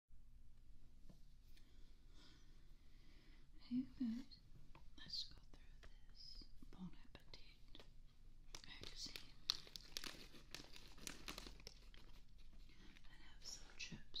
Hey guys, let's go through this Bon Appetit magazine have some chips.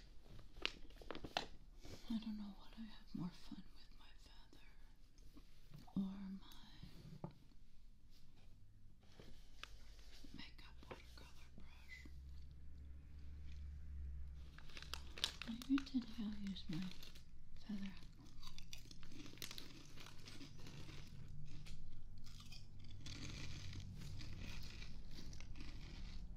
I don't know what I have more fun with my feather or my makeup watercolor brush. Maybe today I'll use my feather.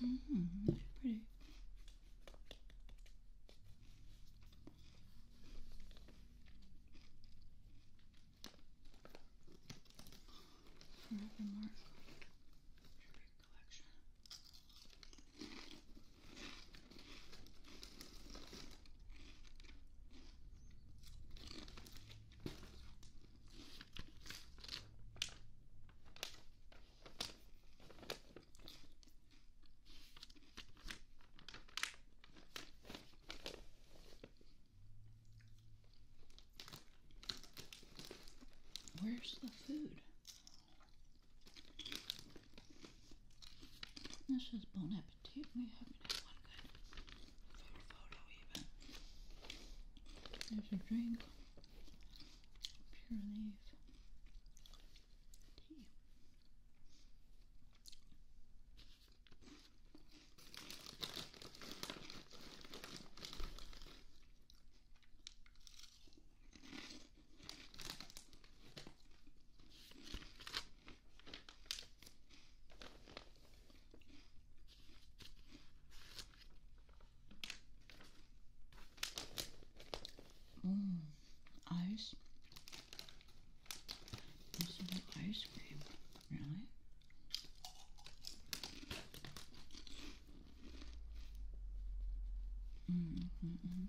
Mm -hmm, pretty. Forever Mark. Your big collection. Where's the food? This is Bon Appetit. We haven't had one good photo even. There's a drink. Pure leaf. Tea. Mm, ice. This is ice cream, really. Mm -hmm.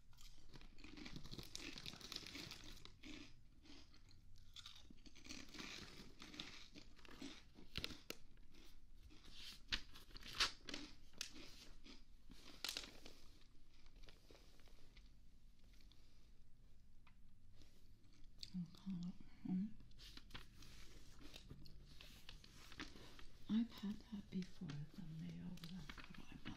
I've had that before thumbnails. i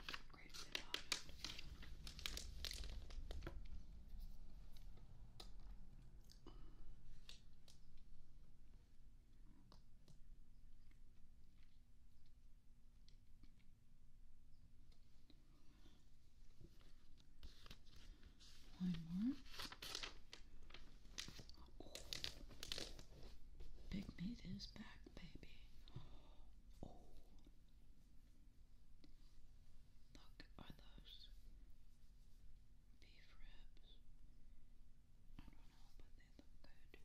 One more. Big meat is back baby. Oh, look, are those beef ribs? I don't know, but they look good.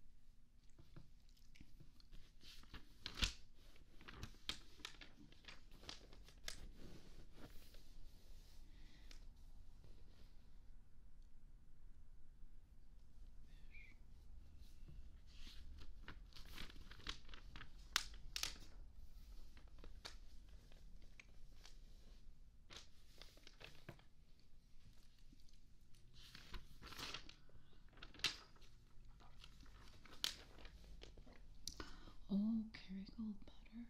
Oh, Kerrygold butter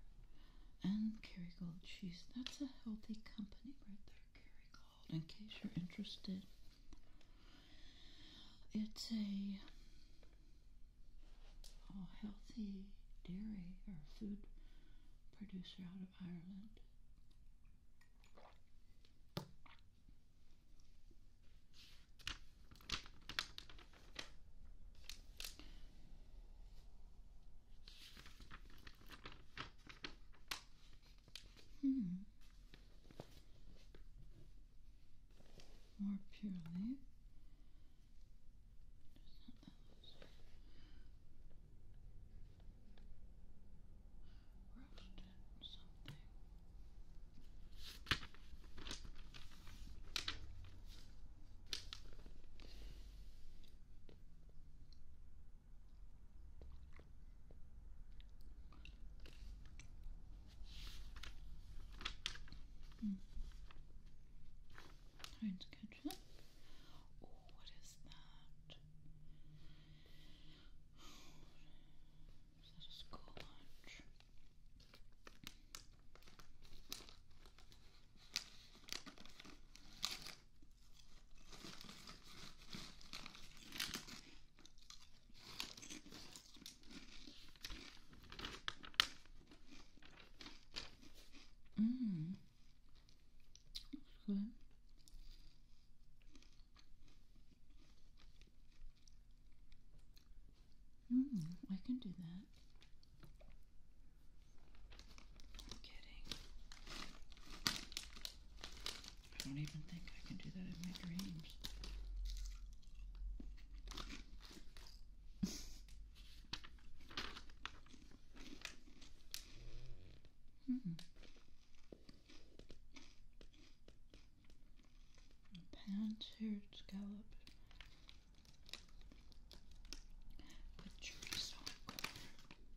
and Kerrygold cheese. That's a healthy company right there. In case you're interested, it's a healthy dairy or food producer out of Ireland. Hmm. More purely. Roasted something. Mm. Trying to Oh, what is that? Is that a school Mmm. That's Mmm, I can do that. I'm kidding. I don't even think I can do that in my dreams. mm -mm. scallop with chorizo and corn.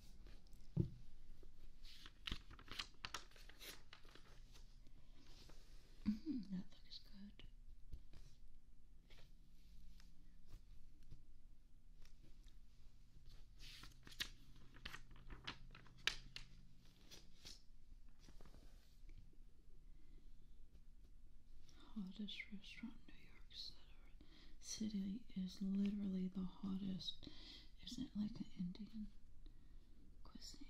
that looks good. Hardest restaurant New York City city is literally the hottest. Isn't like an Indian cuisine?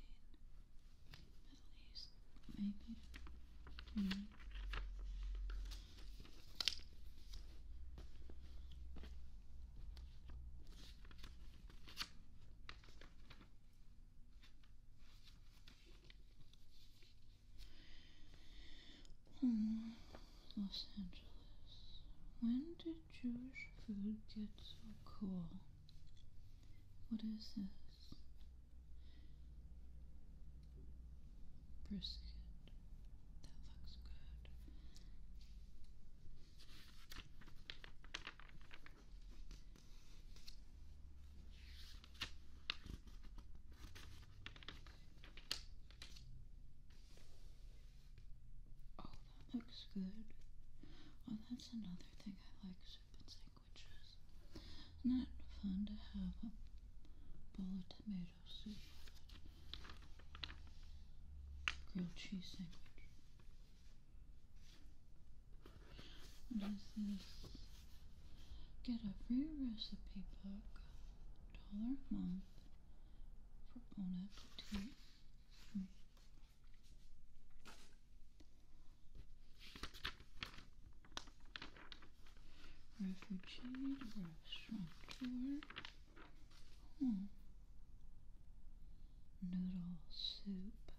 Middle East, maybe. Hmm. Hmm. Los Angeles. When did Jewish food get so cool? What is this? Brisket. That looks good. Oh, that looks good. Well, oh, that's another thing I like soup and sandwiches. Isn't it fun to have a bowl of tomato soup grilled cheese sandwich? Get a free recipe book, dollar a month, for bonus tea. Mm. Refugee restaurateur. Hmm. Noodle soup.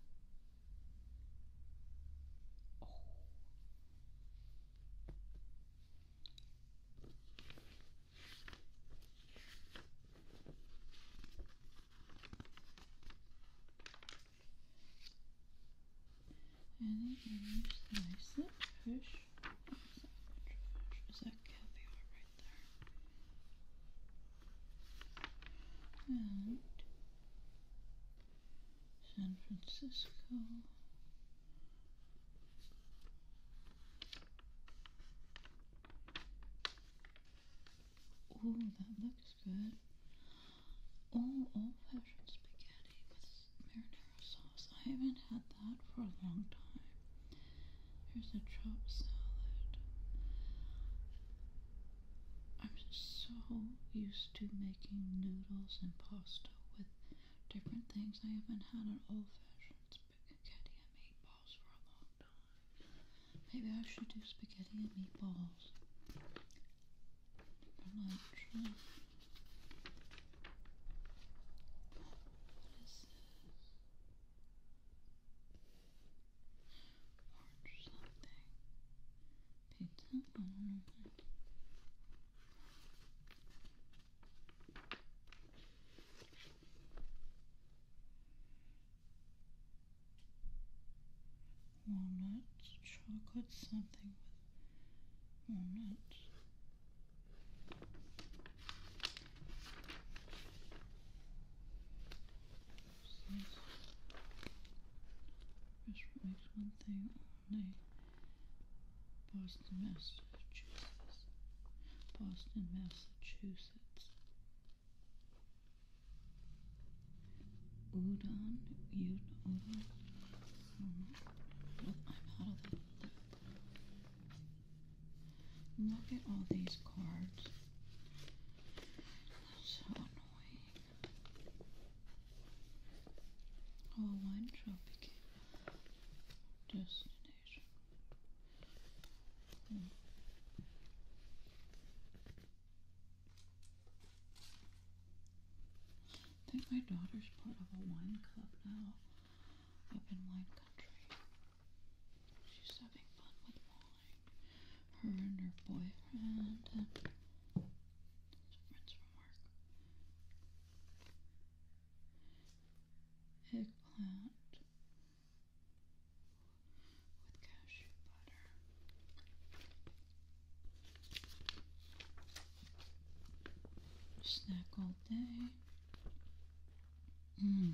Oh. Any image that I said, fish. What is that fish? Is that caviar right there? And San Francisco. Oh, that looks good. Oh, old-fashioned spaghetti with marinara sauce. I haven't had that for a long time. Here's a chop salad. I'm just so used to making noodles and pasta with different things. I haven't had an old-fashioned spaghetti and meatballs for a long time. Maybe I should do spaghetti and meatballs for lunch. Hmm. What is this? Orange something. Pizza? I don't know. Walnuts, chocolate something with walnuts. This one something. Oh, Boston, Massachusetts. Boston, Massachusetts. Udon, Udon, Look at all these cards. so annoying. Our wine shop destination. Hmm. I think my daughter's part of a wine club now up in wine country. She's having fun with wine. Her and her boyfriend Eggplant with cashew butter. Snack all day. Mmm.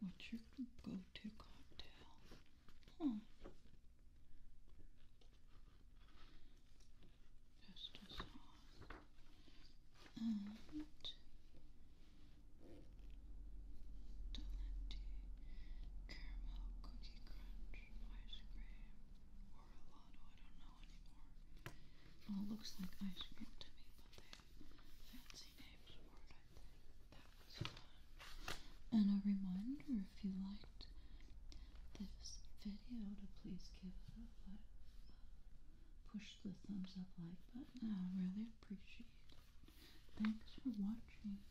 What's your go-to cocktail? Huh. sauce. And Dolente caramel cookie crunch ice cream or a lot. I don't it looks like ice cream to me, but they have fancy names for it, I think. That And a reminder, if you liked this video, to please give it a like. Uh, push the thumbs up like button. I really appreciate it. Thanks for watching.